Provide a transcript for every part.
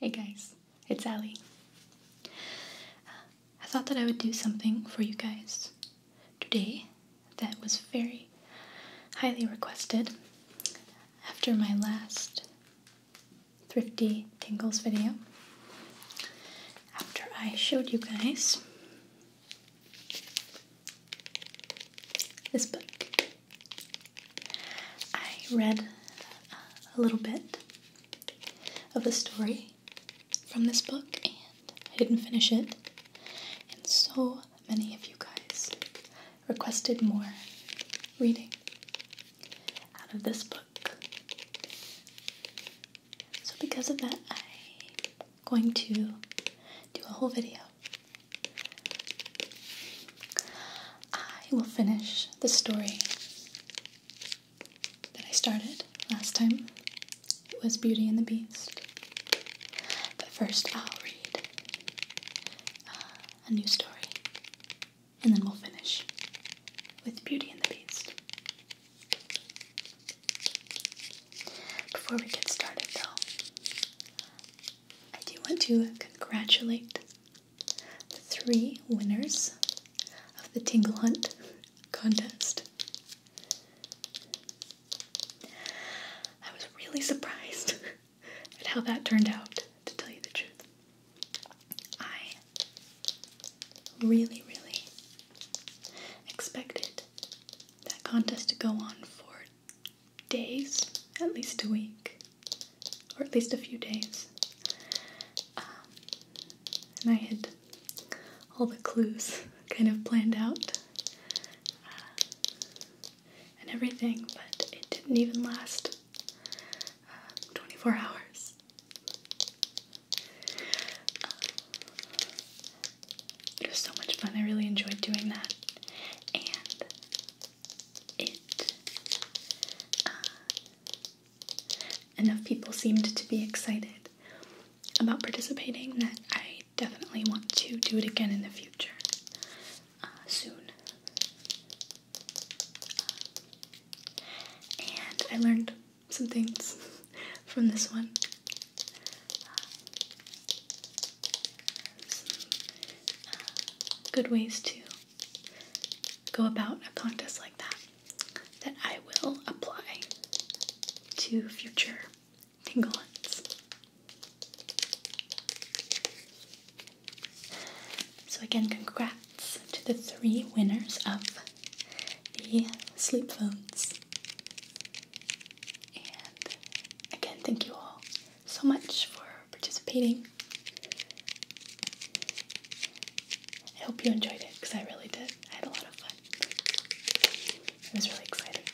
Hey guys, it's Ali. I thought that I would do something for you guys today that was very highly requested after my last thrifty tingles video after I showed you guys this book. I read a little bit of the story from this book and I didn't finish it, and so many of you guys requested more reading out of this book. So, because of that, I'm going to do a whole video. I will finish the story that I started last time. It was Beauty and the Beast. But first, I'll read uh, a new story and then we'll finish with Beauty and the Beast. Before we get started, though, I do want to congratulate the three winners of the Tingle Hunt contest. I was really surprised at how that turned out, to tell you the truth. I really, really expected that contest to go on for days, at least a week, or at least a few days. Um, and I had all the clues kind of planned out uh, and everything, but it didn't even last 24 hours. Uh, it was so much fun. I really enjoyed doing that. And it. Uh, enough people seemed to be excited about participating that I definitely want to do it again in the future uh, soon and I learned some things from this one. good ways to go about a contest like that that I will apply to future tingle hunts. So again, congrats to the three winners of the sleep phones. And again, thank you all so much for participating. I hope you enjoyed it because I really did. I had a lot of fun. It was really exciting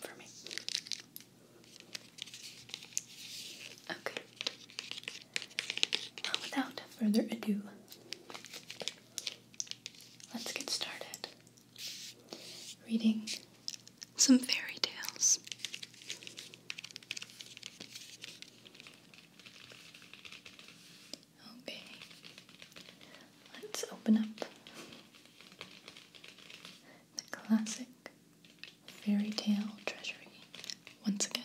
for me. Okay without further ado, let's get started reading some fairy tales. Okay, let's open up the classic fairy tale treasury once again.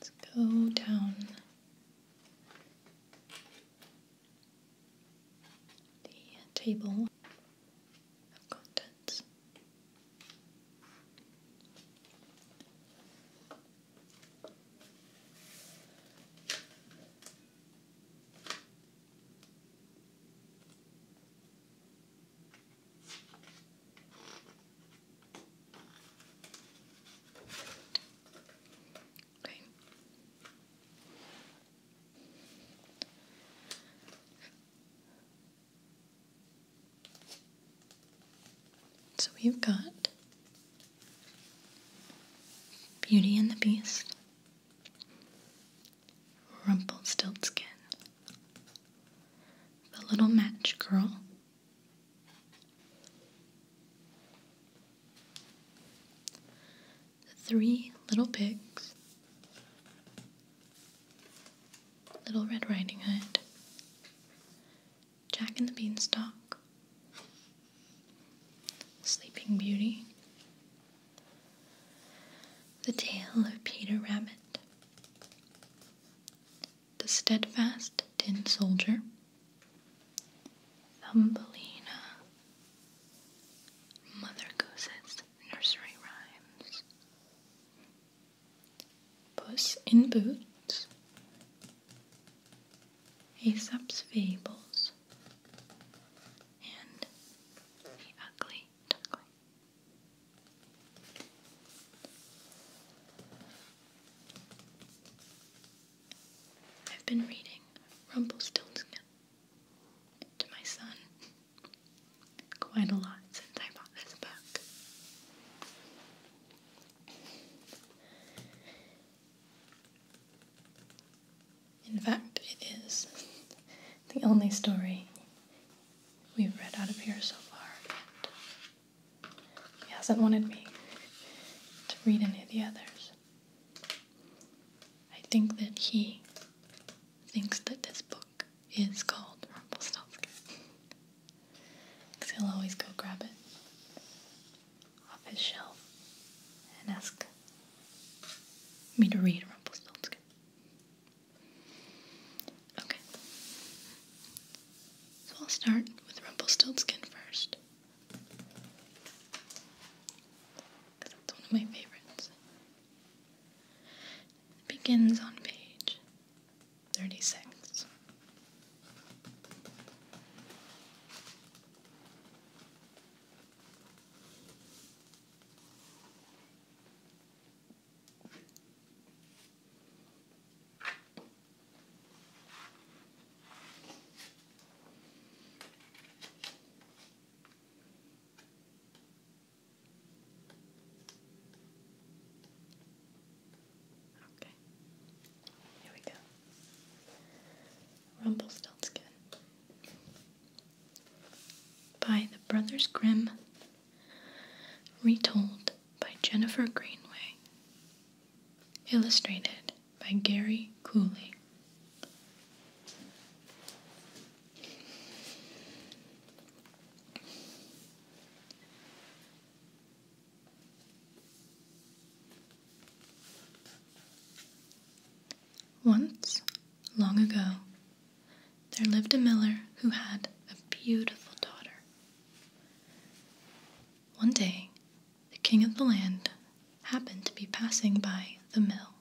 Let's go down the table contents. So we've got Beauty and the Beast, Rumpelstiltskin, The Little Match Girl, the three little pigs, Little Red Riding Hood, Jack and the Beanstalk, Sleeping Beauty, The Tale of Peter Rabbit, the steadfast tin soldier, Thumbelina, Mother Goose's nursery rhymes, Puss in Boots, Aesop's Fables, and The Ugly Duckling. I've been reading Rumpelstiltskin to my son quite a lot since I bought this book. In fact, it is the only story we've read out of here so far, he hasn't wanted me to read any of the others. I think that he thinks that this book is called Rumpelstiltskin. Because he'll always go grab it off his shelf and ask me to read Rumpelstiltskin. Okay. So I'll start with Rumpelstiltskin first it's one of my favorites. It begins on page 36. Okay, here we go. Rumpelstiltskin by the Brothers Grimm, retold by Jennifer Greenway. Illustrated by Gary Cooley. Once, long ago, there lived a miller who had a beautiful daughter. One day, the king of the land happened to be passing by the mill.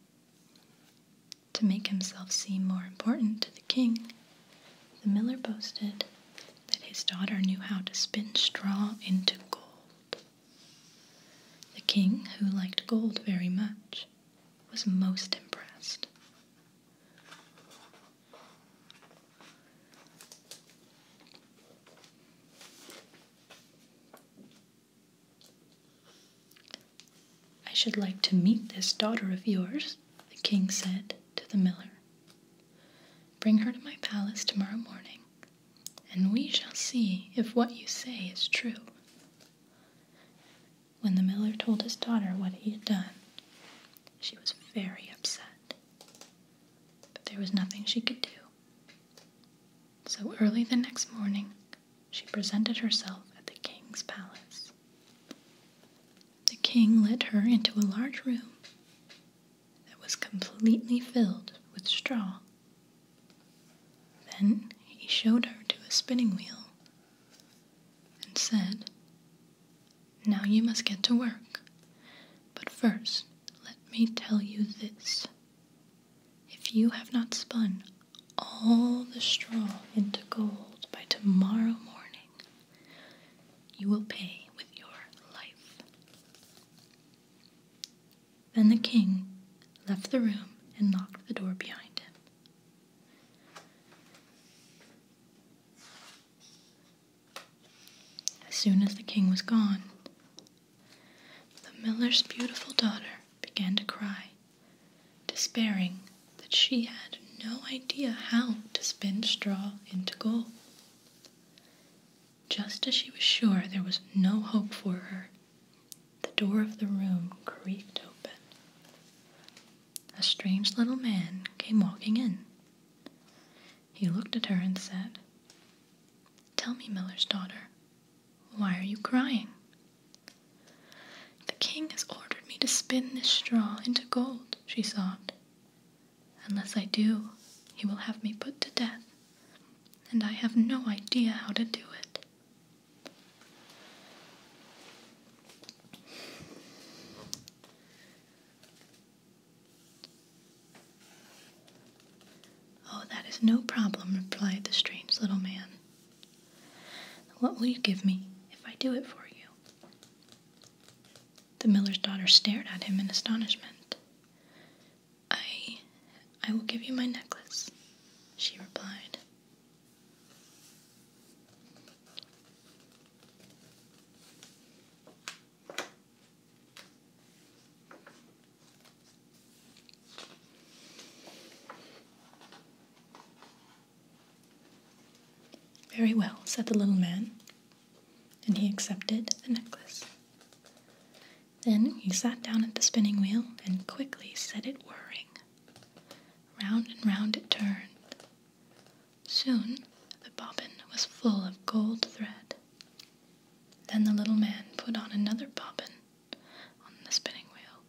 To make himself seem more important to the king, the miller boasted that his daughter knew how to spin straw into gold. The king, who liked gold very much, was most impressed. I should like to meet this daughter of yours, the king said to the miller. Bring her to my palace tomorrow morning, and we shall see if what you say is true. When the miller told his daughter what he had done, she was very upset, but there was nothing she could do. So early the next morning, she presented herself at the king's palace. The king led her into a large room that was completely filled with straw. Then he showed her to a spinning wheel and said, Now you must get to work. But first, let me tell you this. If you have not spun all the straw into gold by tomorrow morning, you will pay with your life. Then the king left the room and locked the door behind him. As soon as the king was gone, the miller's beautiful daughter began to cry, despairing that she had no idea how to spin straw into gold. Just as she was sure there was no hope for her, the door of the room creaked open. A strange little man came walking in. He looked at her and said, Tell me, miller's daughter, why are you crying? The king has ordered me to spin this straw into gold, she sobbed. Unless I do, he will have me put to death, and I have no idea how to do it. Oh, that is no problem, replied the strange little man. What will you give me if I do it for you? The miller's daughter stared at him in astonishment. I. I will give you my necklace, she replied. Very well, said the little man, and he accepted the necklace. Then he sat down at the spinning wheel and quickly set it whirring. Round and round it turned. Soon the bobbin was full of gold thread. Then the little man put on another bobbin on the spinning wheel.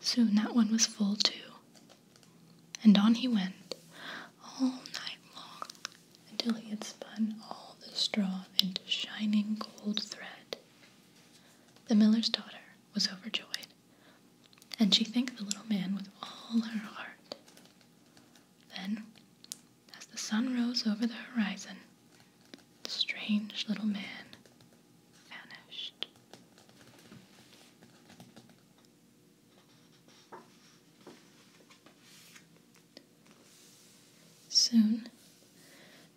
Soon that one was full too, and on he went all night long until he had spun all the straw into shining gold thread. The miller's daughter was overjoyed, and she thanked the little man with all her heart. Then as the sun rose over the horizon, the strange little man vanished. Soon,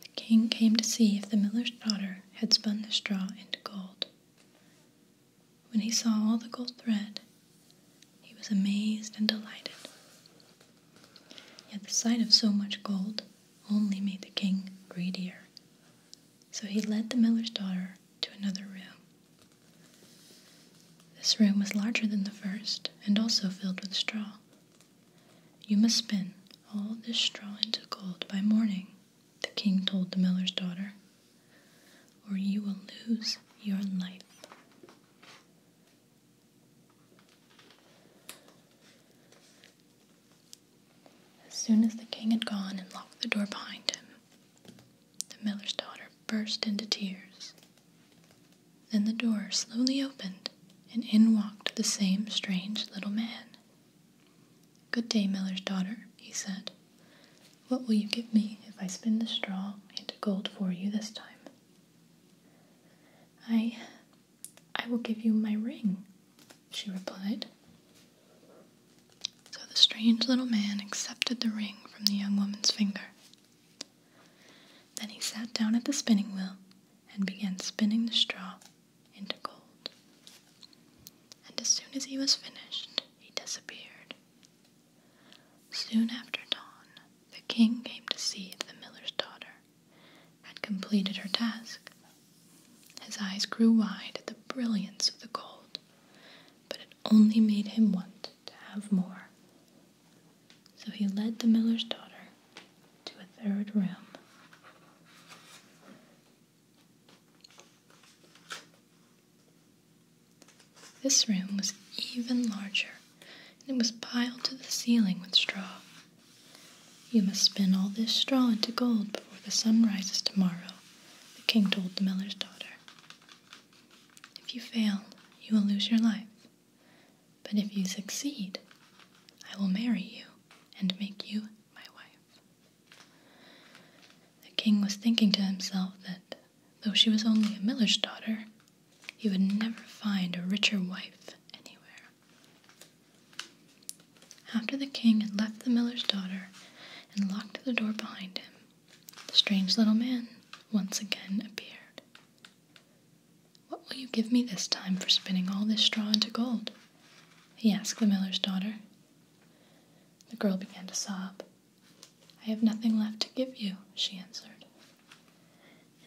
the king came to see if the miller's daughter had spun the straw into gold. When he saw all the gold thread, he was amazed and delighted. Yet the sight of so much gold only made the king greedier. So he led the miller's daughter to another room. This room was larger than the first and also filled with straw. You must spin all this straw into gold by morning, the king told the miller's daughter, or you will lose your life. As soon as the king had gone and locked the door behind him, the miller's daughter burst into tears. Then the door slowly opened, and in walked the same strange little man. Good day, miller's daughter, he said. What will you give me if I spin the straw into gold for you this time? I I will give you my ring, she replied. So the strange little man accepted the ring from the young woman's finger. Then he sat down at the spinning wheel and began spinning the straw into gold. And as soon as he was finished, he disappeared. Soon after dawn, the king came to see if the miller's daughter had completed her task. His eyes grew wide at the brilliance of the gold, but it only made him want to have more. So he led the miller's daughter to a third room. This room was even larger and it was piled to the ceiling with straw. You must spin all this straw into gold before the sun rises tomorrow, the king told the miller's daughter. If you fail, you will lose your life. But if you succeed, I will marry you and make you my wife. The king was thinking to himself that, though she was only a miller's daughter, you would never find a richer wife anywhere. After the king had left the miller's daughter and locked the door behind him, the strange little man once again appeared. What will you give me this time for spinning all this straw into gold? he asked the miller's daughter. The girl began to sob. I have nothing left to give you, she answered.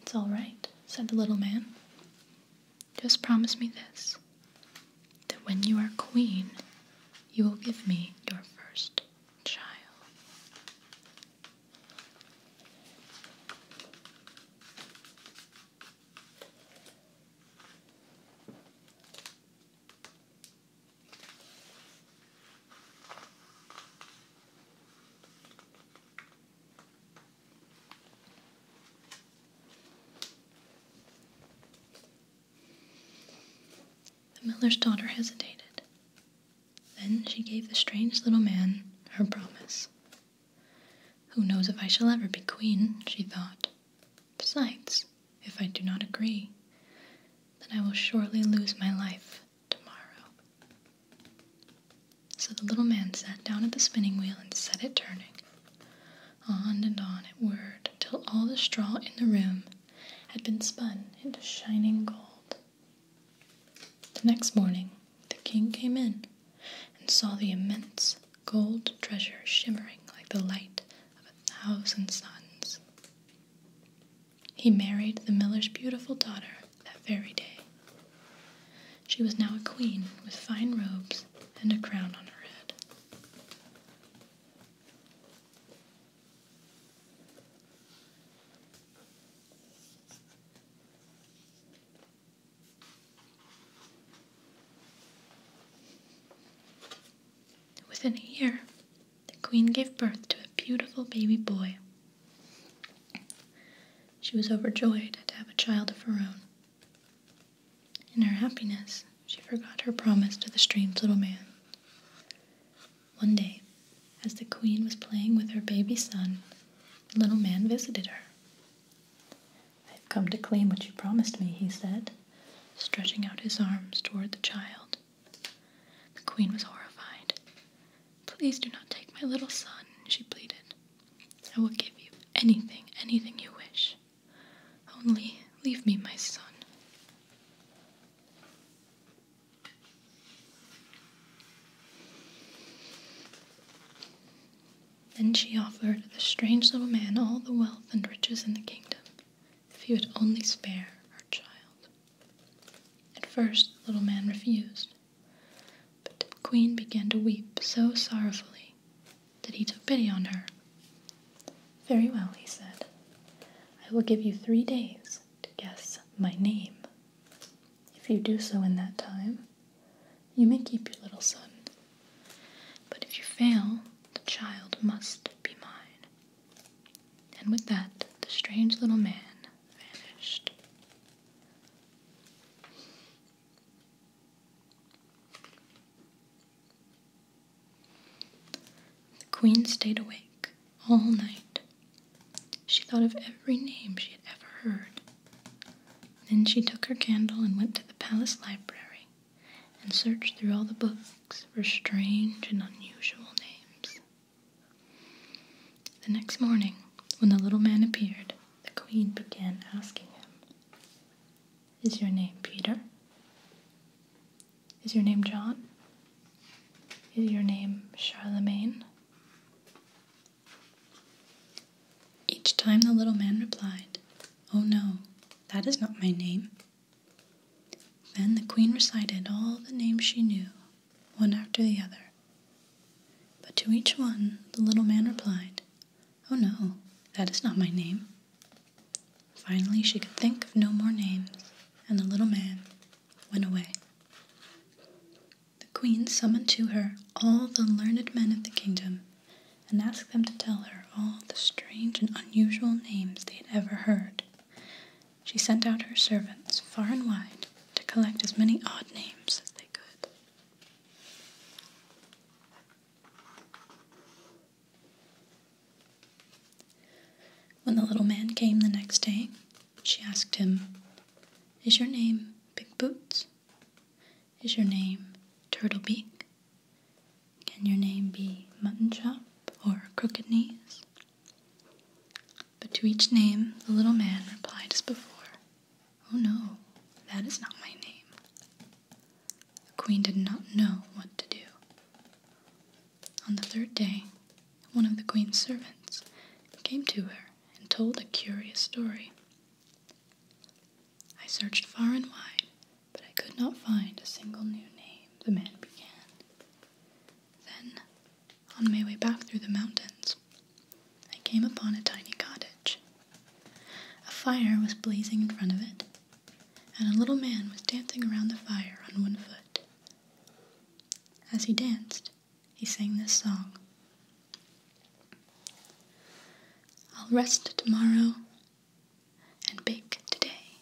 It's all right, said the little man. Just promise me this that when you are queen, you will give me your first child. The miller's daughter hesitated. Then she gave the strange little man her promise. Who knows if I shall ever be queen, she thought. Besides, if I do not agree, then I will surely lose my life tomorrow. So the little man sat down at the spinning wheel and set it turning. On and on it whirred till all the straw in the room had been spun into shining gold. The next morning the king came in and saw the immense gold treasure shimmering like the light of a thousand suns. He married the miller's beautiful daughter that very day, she was now a queen with fine robes and a crown on her head. Within a year, the queen gave birth to a beautiful baby boy she was overjoyed to have a child of her own. In her happiness, she forgot her promise to the strange little man. One day, as the queen was playing with her baby son, the little man visited her. I've come to claim what you promised me, he said, stretching out his arms toward the child. The queen was horrified. Please do not take my little son, she pleaded. I will give you anything, anything you wish. Only leave me my son. Then she offered the strange little man all the wealth and riches in the kingdom, if he would only spare her child. At first, the little man refused, but the queen began to weep so sorrowfully that he took pity on her. Very well, he said. I will give you three days to guess my name. If you do so in that time, you may keep your little son. But if you fail, the child must be mine. And with that, the strange little man vanished. The queen stayed awake all night. She thought of every name she had ever heard. Then she took her candle and went to the palace library and searched through all the books for strange and unusual names. The next morning, when the little man appeared, the queen began asking him, Is your name Peter? Is your name John? Is your name Charlemagne? Each time the little man replied, Oh no, that is not my name. Then the queen recited all the names she knew, one after the other. But to each one the little man replied, Oh no, that is not my name. Finally, she could think of no more names, and the little man went away. The queen summoned to her all the learned men of the kingdom and asked them to tell her all the strange and unusual names they had ever heard. She sent out her servants far and wide to collect as many odd names as they could. When the little man came the next day, she asked him, Is your name Big Boots? Is your name Turtle Beak? Can your name be Mutton Chop or Crooked Knees? But to each name the little man replied as before Oh no, that is not my name. The queen did not know what to do. On the third day, one of the queen's servants came to her and told a curious story. I searched far and wide, but I could not find a single new name, the man began. Then, on my way back through the mountains, I came upon a tiny cottage. A fire was blazing in front of it, and a little man was dancing around the fire on one foot. As he danced, he sang this song I'll rest tomorrow and bake today.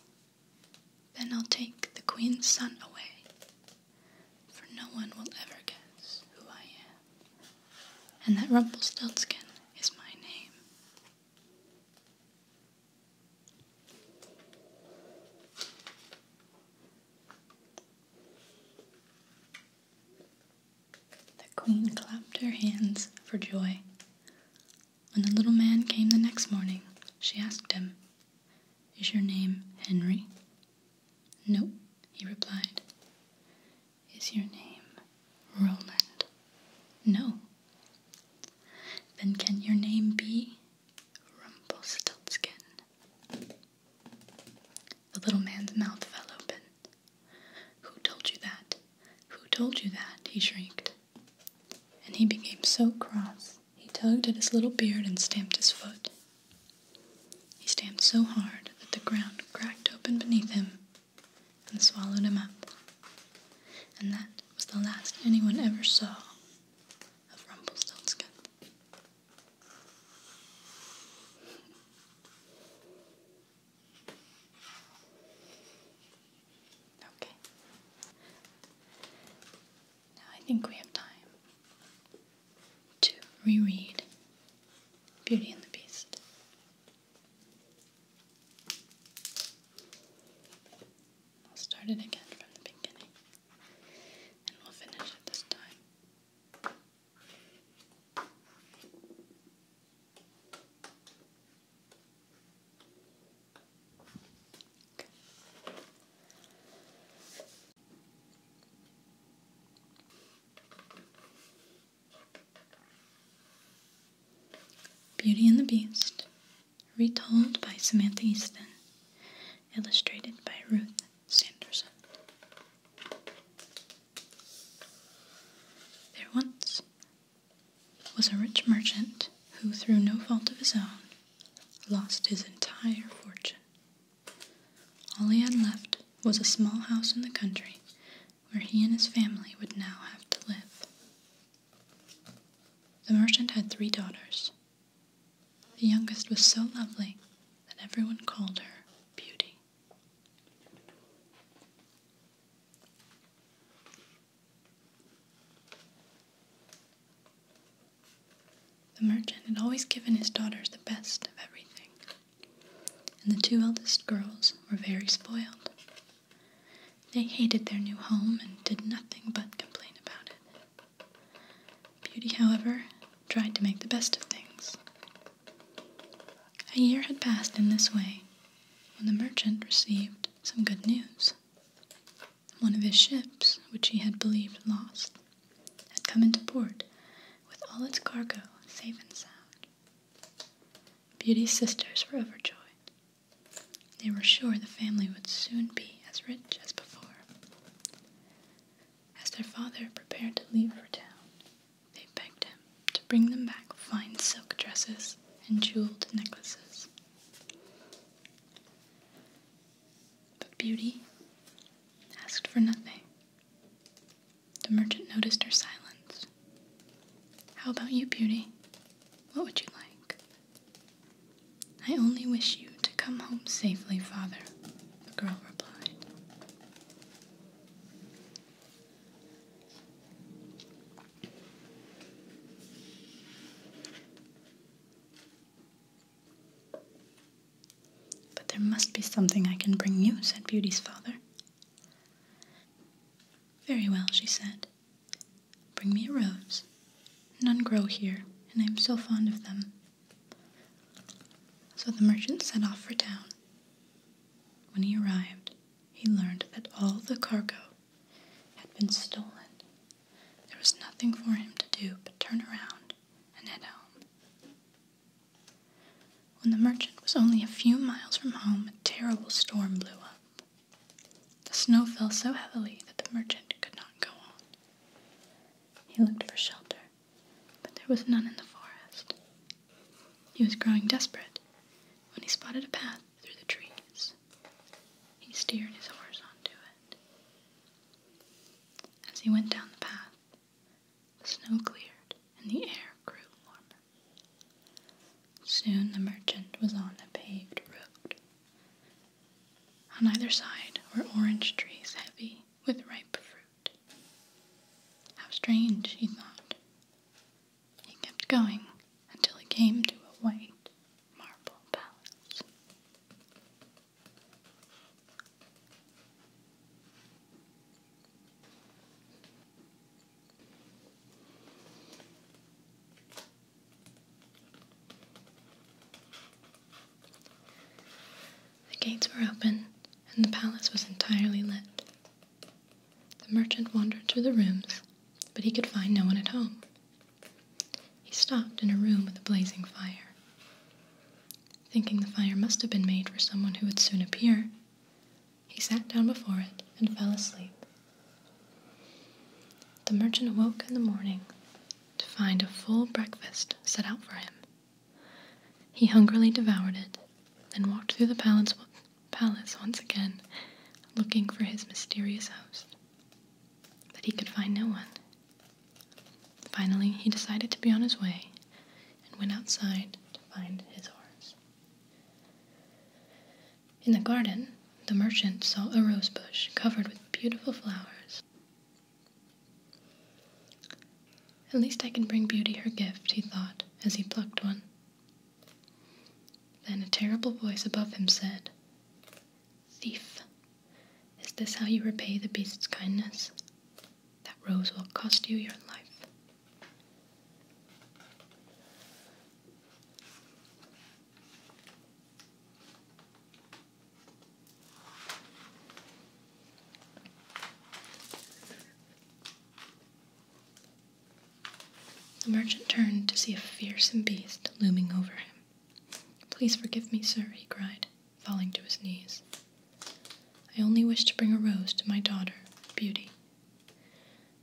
Then I'll take the queen's son away for no one will ever guess who I am, and that Rumpelstiltskin is my name. The queen clapped her hands for joy. When the little man came the next morning, she asked him, Is your name Henry? No, he replied. Is your name Roland? No. Then can your name be Rumpelstiltskin? The little man's mouth fell open. Who told you that? Who told you that? he shrieked. And he became so cross, he tugged at his little beard and stamped his foot. He stamped so hard that the ground cracked open beneath him and swallowed him up. And that was the last anyone ever saw of Rumpelstiltskin. Okay. Now I think we have time to reread Beauty and the Beast. I'll start it again from the beginning and we'll finish it this time. Beauty and the Beast, retold by Samantha Easton, illustrated by Ruth Sanderson. There once was a rich merchant who, through no fault of his own, lost his entire fortune. All he had left was a small house in the country where he and his family would now have to live. The merchant had three daughters. The youngest was so lovely that everyone called her Beauty. The merchant had always given his daughters the best of everything and the two eldest girls were very spoiled. They hated their new home and did nothing but complain about it. Beauty, however, tried to make the best of things. A year had passed in this way when the merchant received some good news. One of his ships, which he had believed lost, had come into port with all its cargo safe and sound. Beauty's sisters were overjoyed. They were sure the family would soon be as rich as before. As their father prepared to leave for town, they begged him to bring them back fine silk dresses and jeweled necklaces. But Beauty asked for nothing. The merchant noticed her silence. How about you, Beauty? What would you like? I only wish you to come home safely, father, the girl replied. But there must be something I can bring you, said Beauty's father. Very well, she said. Bring me a rose. None grow here, and I am so fond of them. So the merchant set off for town. When he arrived, he learned that all the cargo had been stolen. There was nothing for him to do but turn around and head home. When the merchant was only a few miles from home, a terrible storm blew up. The snow fell so heavily that the merchant could not go on. He looked for shelter, but there was none in the forest. He was growing desperate when he spotted a path through the trees. He steered his horse onto it. As he went down the path, the snow cleared, and the air grew warmer. Soon the merchant was on a paved road. On either side were orange trees heavy with ripe fruit. How strange, he thought. He kept going until he came to a white marble palace. The gates were open, and the palace was entirely lit. The merchant wandered through the rooms, but he could find no one at home. He stopped in a room with a blazing fire. Thinking the fire must have been made for someone who would soon appear, he sat down before it and fell asleep. The merchant awoke in the morning to find a full breakfast set out for him. He hungrily devoured it, then walked through the palace, palace once again, looking for his mysterious host. But he could find no one. Finally, he decided to be on his way and went outside to find his horse. In the garden, the merchant saw a rose bush covered with beautiful flowers. At least I can bring Beauty her gift, he thought as he plucked one. Then a terrible voice above him said, Thief, is this how you repay the beast's kindness? That rose will cost you your life. The merchant turned to see a fearsome beast looming over him. Please forgive me, sir, he cried, falling to his knees. I only wished to bring a rose to my daughter, Beauty.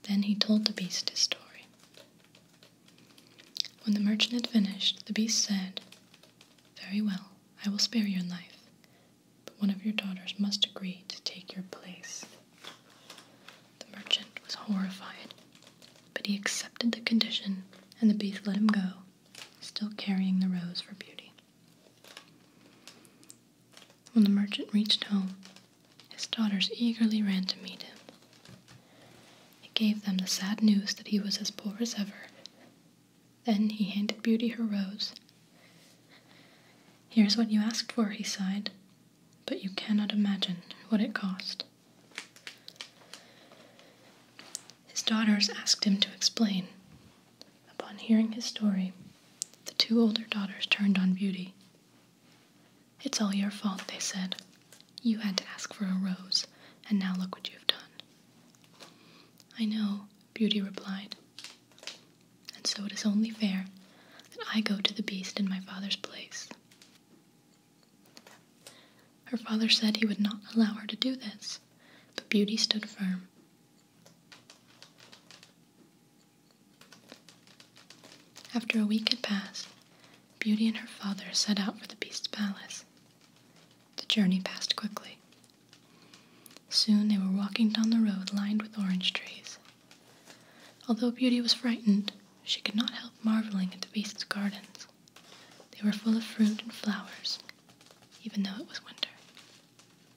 Then he told the beast his story. When the merchant had finished, the beast said, Very well, I will spare your life, but one of your daughters must agree to take your place. The merchant was horrified, but he accepted the condition, and the beast let him go, still carrying the rose for beauty. When the merchant reached home, his daughters eagerly ran to meet him. He gave them the sad news that he was as poor as ever. Then he handed Beauty her rose. Here's what you asked for, he sighed, but you cannot imagine what it cost. His daughters asked him to explain, Upon hearing his story, the two older daughters turned on Beauty. It's all your fault, they said. You had to ask for a rose, and now look what you've done. I know, Beauty replied. And so it is only fair that I go to the beast in my father's place. Her father said he would not allow her to do this, but Beauty stood firm. After a week had passed, Beauty and her father set out for the Beast's palace. The journey passed quickly. Soon they were walking down the road lined with orange trees. Although Beauty was frightened, she could not help marveling at the Beast's gardens. They were full of fruit and flowers, even though it was winter.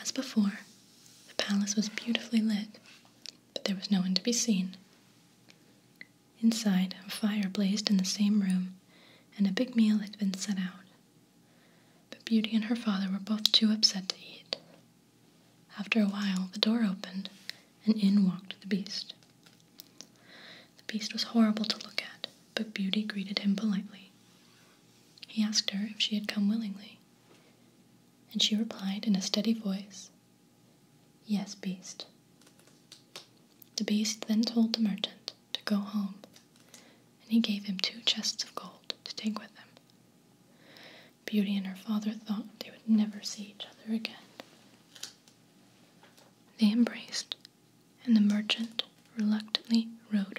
As before, the palace was beautifully lit, but there was no one to be seen. Inside, a fire blazed in the same room, and a big meal had been set out. But Beauty and her father were both too upset to eat. After a while, the door opened, and in walked the beast. The beast was horrible to look at, but Beauty greeted him politely. He asked her if she had come willingly, and she replied in a steady voice, Yes, beast. The beast then told the merchant to go home, and he gave him two chests of gold to take with him. Beauty and her father thought they would never see each other again. They embraced, and the merchant reluctantly rode away.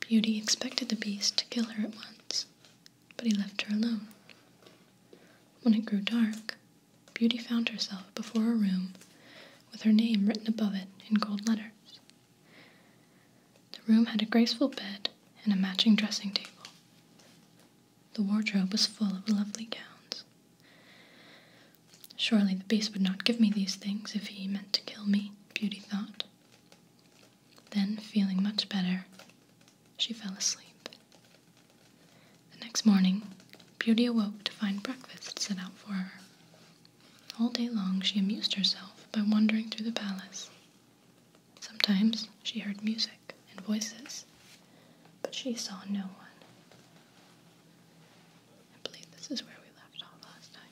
Beauty expected the beast to kill her at once, but he left her alone. When it grew dark, Beauty found herself before a room with her name written above it in gold letters. The room had a graceful bed and a matching dressing table. The wardrobe was full of lovely gowns. Surely the beast would not give me these things if he meant to kill me, Beauty thought. Then, feeling much better, she fell asleep. The next morning, Beauty awoke to find breakfast set out for her. All day long she amused herself by wandering through the palace. Sometimes she heard music and voices, but she saw no one. I believe this is where we left off last time.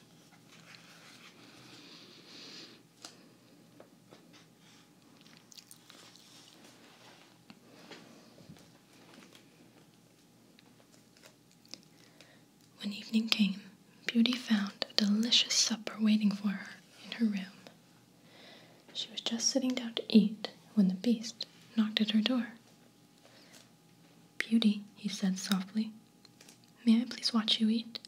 When evening came, Beauty found a delicious supper waiting for her in her room. She was just sitting down to eat when the beast knocked at her door. Beauty, he said softly, may I please watch you eat?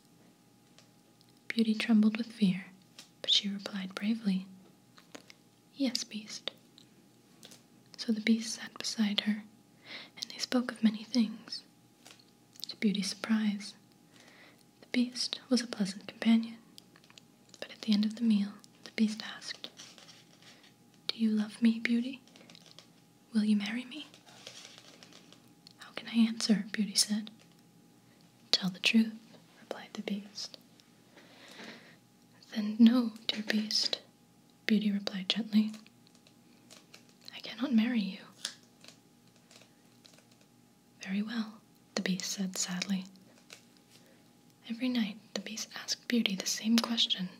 Beauty trembled with fear, but she replied bravely, Yes, beast. So the beast sat beside her, and they spoke of many things. To Beauty's surprise, the beast was a pleasant companion. But at the end of the meal, the beast asked, Do you love me, Beauty? Will you marry me? How can I answer? Beauty said. Tell the truth, replied the beast. Then no, dear beast, Beauty replied gently. I cannot marry you. Very well, the beast said sadly. Every night the beast asked Beauty the same question,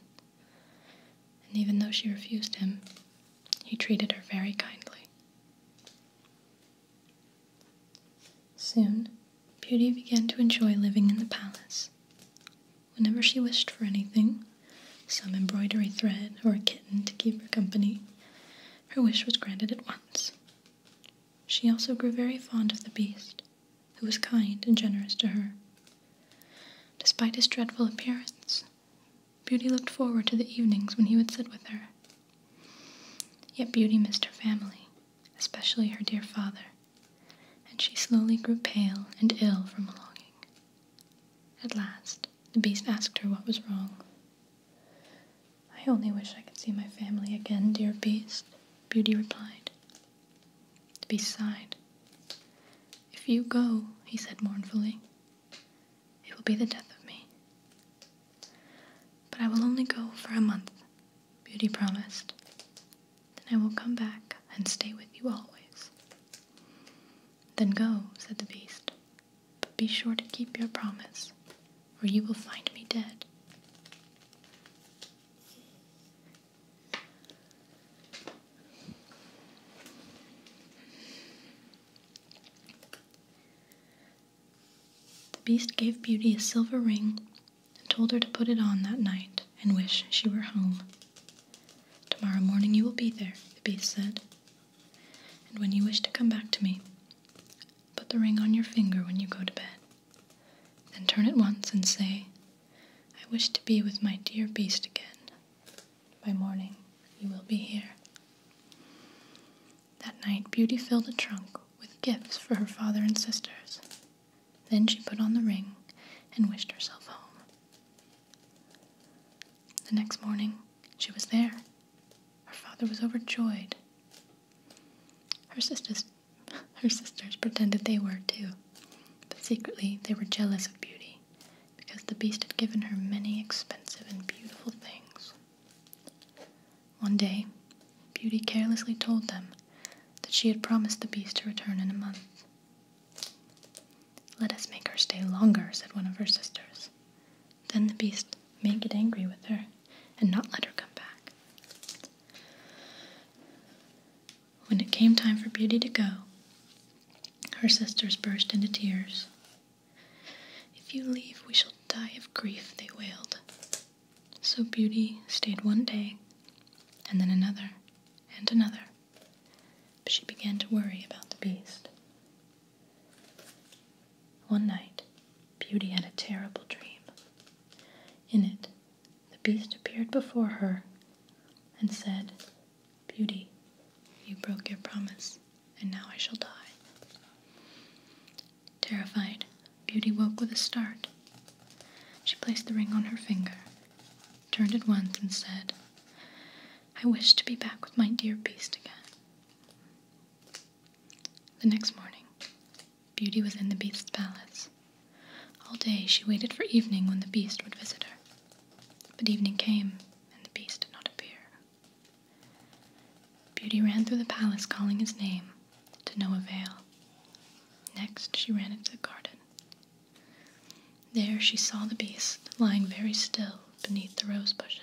and even though she refused him, he treated her very kindly. Soon, Beauty began to enjoy living in the palace. Whenever she wished for anything, some embroidery thread or a kitten to keep her company, her wish was granted at once. She also grew very fond of the beast, who was kind and generous to her. Despite his dreadful appearance, Beauty looked forward to the evenings when he would sit with her. Yet Beauty missed her family, especially her dear father, and she slowly grew pale and ill from longing. At last, the beast asked her what was wrong. I only wish I could see my family again, dear beast, Beauty replied. Beside, if you go, he said mournfully, it will be the death of me. But I will only go for a month, Beauty promised. Then I will come back and stay with you always. Then go, said the beast, but be sure to keep your promise, or you will find me dead. The beast gave Beauty a silver ring and told her to put it on that night and wish she were home. Tomorrow morning you will be there, the beast said. And when you wish to come back to me, put the ring on your finger when you go to bed. Then turn it once and say, I wish to be with my dear beast again. By morning, you will be here. That night, Beauty filled a trunk with gifts for her father and sisters. Then she put on the ring and wished herself home. The next morning, she was there. Her father was overjoyed. Her sisters, her sisters pretended they were too, but secretly they were jealous of Beauty because the beast had given her many expensive and beautiful things. One day, Beauty carelessly told them that she had promised the beast to return in a month. Let us make her stay longer, said one of her sisters. Then the beast may get angry with her and not let her come back. When it came time for Beauty to go, her sisters burst into tears. If you leave, we shall die of grief, they wailed. So Beauty stayed one day, and then another, and another. But she began to worry about the beast. One night, Beauty had a terrible dream. In it, the beast appeared before her and said, Beauty, you broke your promise, and now I shall die. Terrified, Beauty woke with a start. She placed the ring on her finger, turned at once, and said, I wish to be back with my dear beast again. The next morning, Beauty was in the beast's palace. All day she waited for evening when the beast would visit her. But evening came, and the beast did not appear. Beauty ran through the palace calling his name, to no avail. Next, she ran into the garden. There she saw the beast lying very still beneath the rose bushes.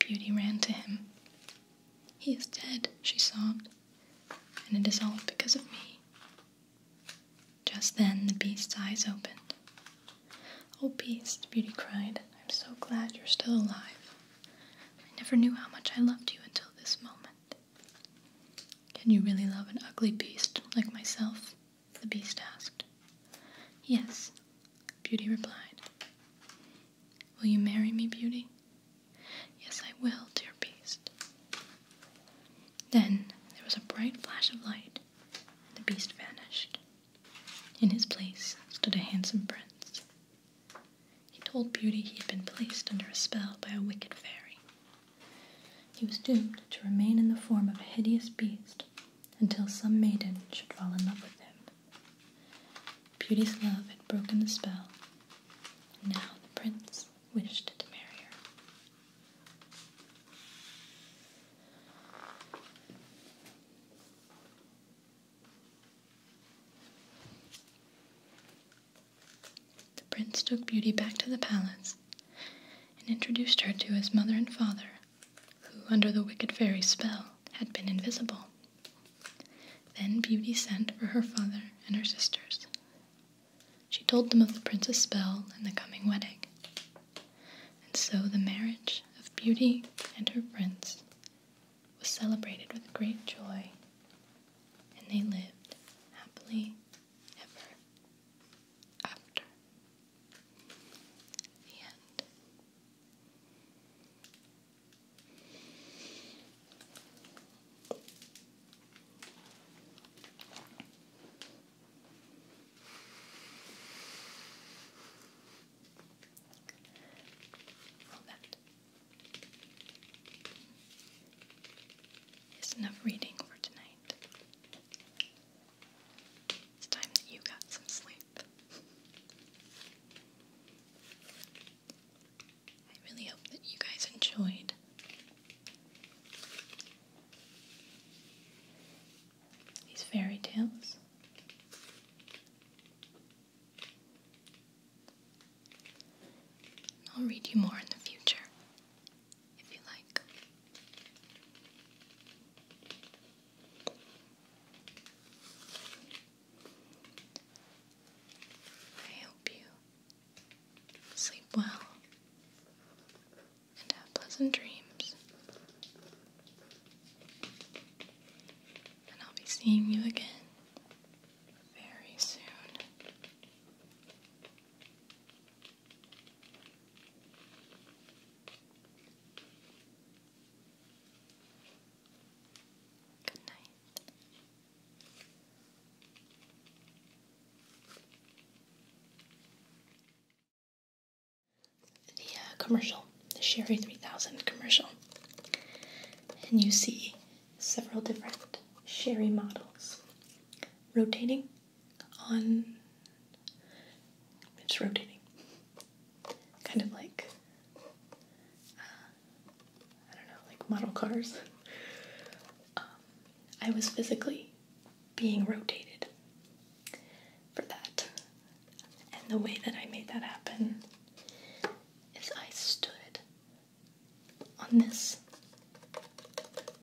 Beauty ran to him. He is dead, she sobbed, and it is all because of me. Just then the beast's eyes opened. Oh, beast, Beauty cried, I'm so glad you're still alive. I never knew how much I loved you until this moment. Can you really love an ugly beast like myself? The beast asked. Yes, Beauty replied. Will you marry me, Beauty? Yes, I will, dear beast. Then there was a bright flash of light, and the beast vanished. In his place stood a handsome prince. He told Beauty he had been placed under a spell by a wicked fairy, he was doomed to remain in the form of a hideous beast until some maiden should fall in love with him. Beauty's love had broken the spell, and now the prince wished to marry her. The prince took Beauty back to the palace and introduced her to his mother and father, who, under the wicked fairy's spell, had been invisible. Then Beauty sent for her father and her sisters. She told them of the prince's spell and the coming wedding. And so the marriage of Beauty and her prince was celebrated with great joy, and they lived happily ever after the end. that is enough reading for tonight. It's time that you got some sleep. I really hope that you guys enjoyed. These fairy tales. I'll read you more in the future if you like. I hope you sleep well and have pleasant dreams. And I'll be seeing you again very soon. Good night. The uh, commercial, the Sherry 3000 commercial. And you see several different sherry models rotating on. It's rotating. Kind of like. Uh, I don't know, like model cars. Um, I was physically being rotated for that. And the way that I made that happen is I stood on this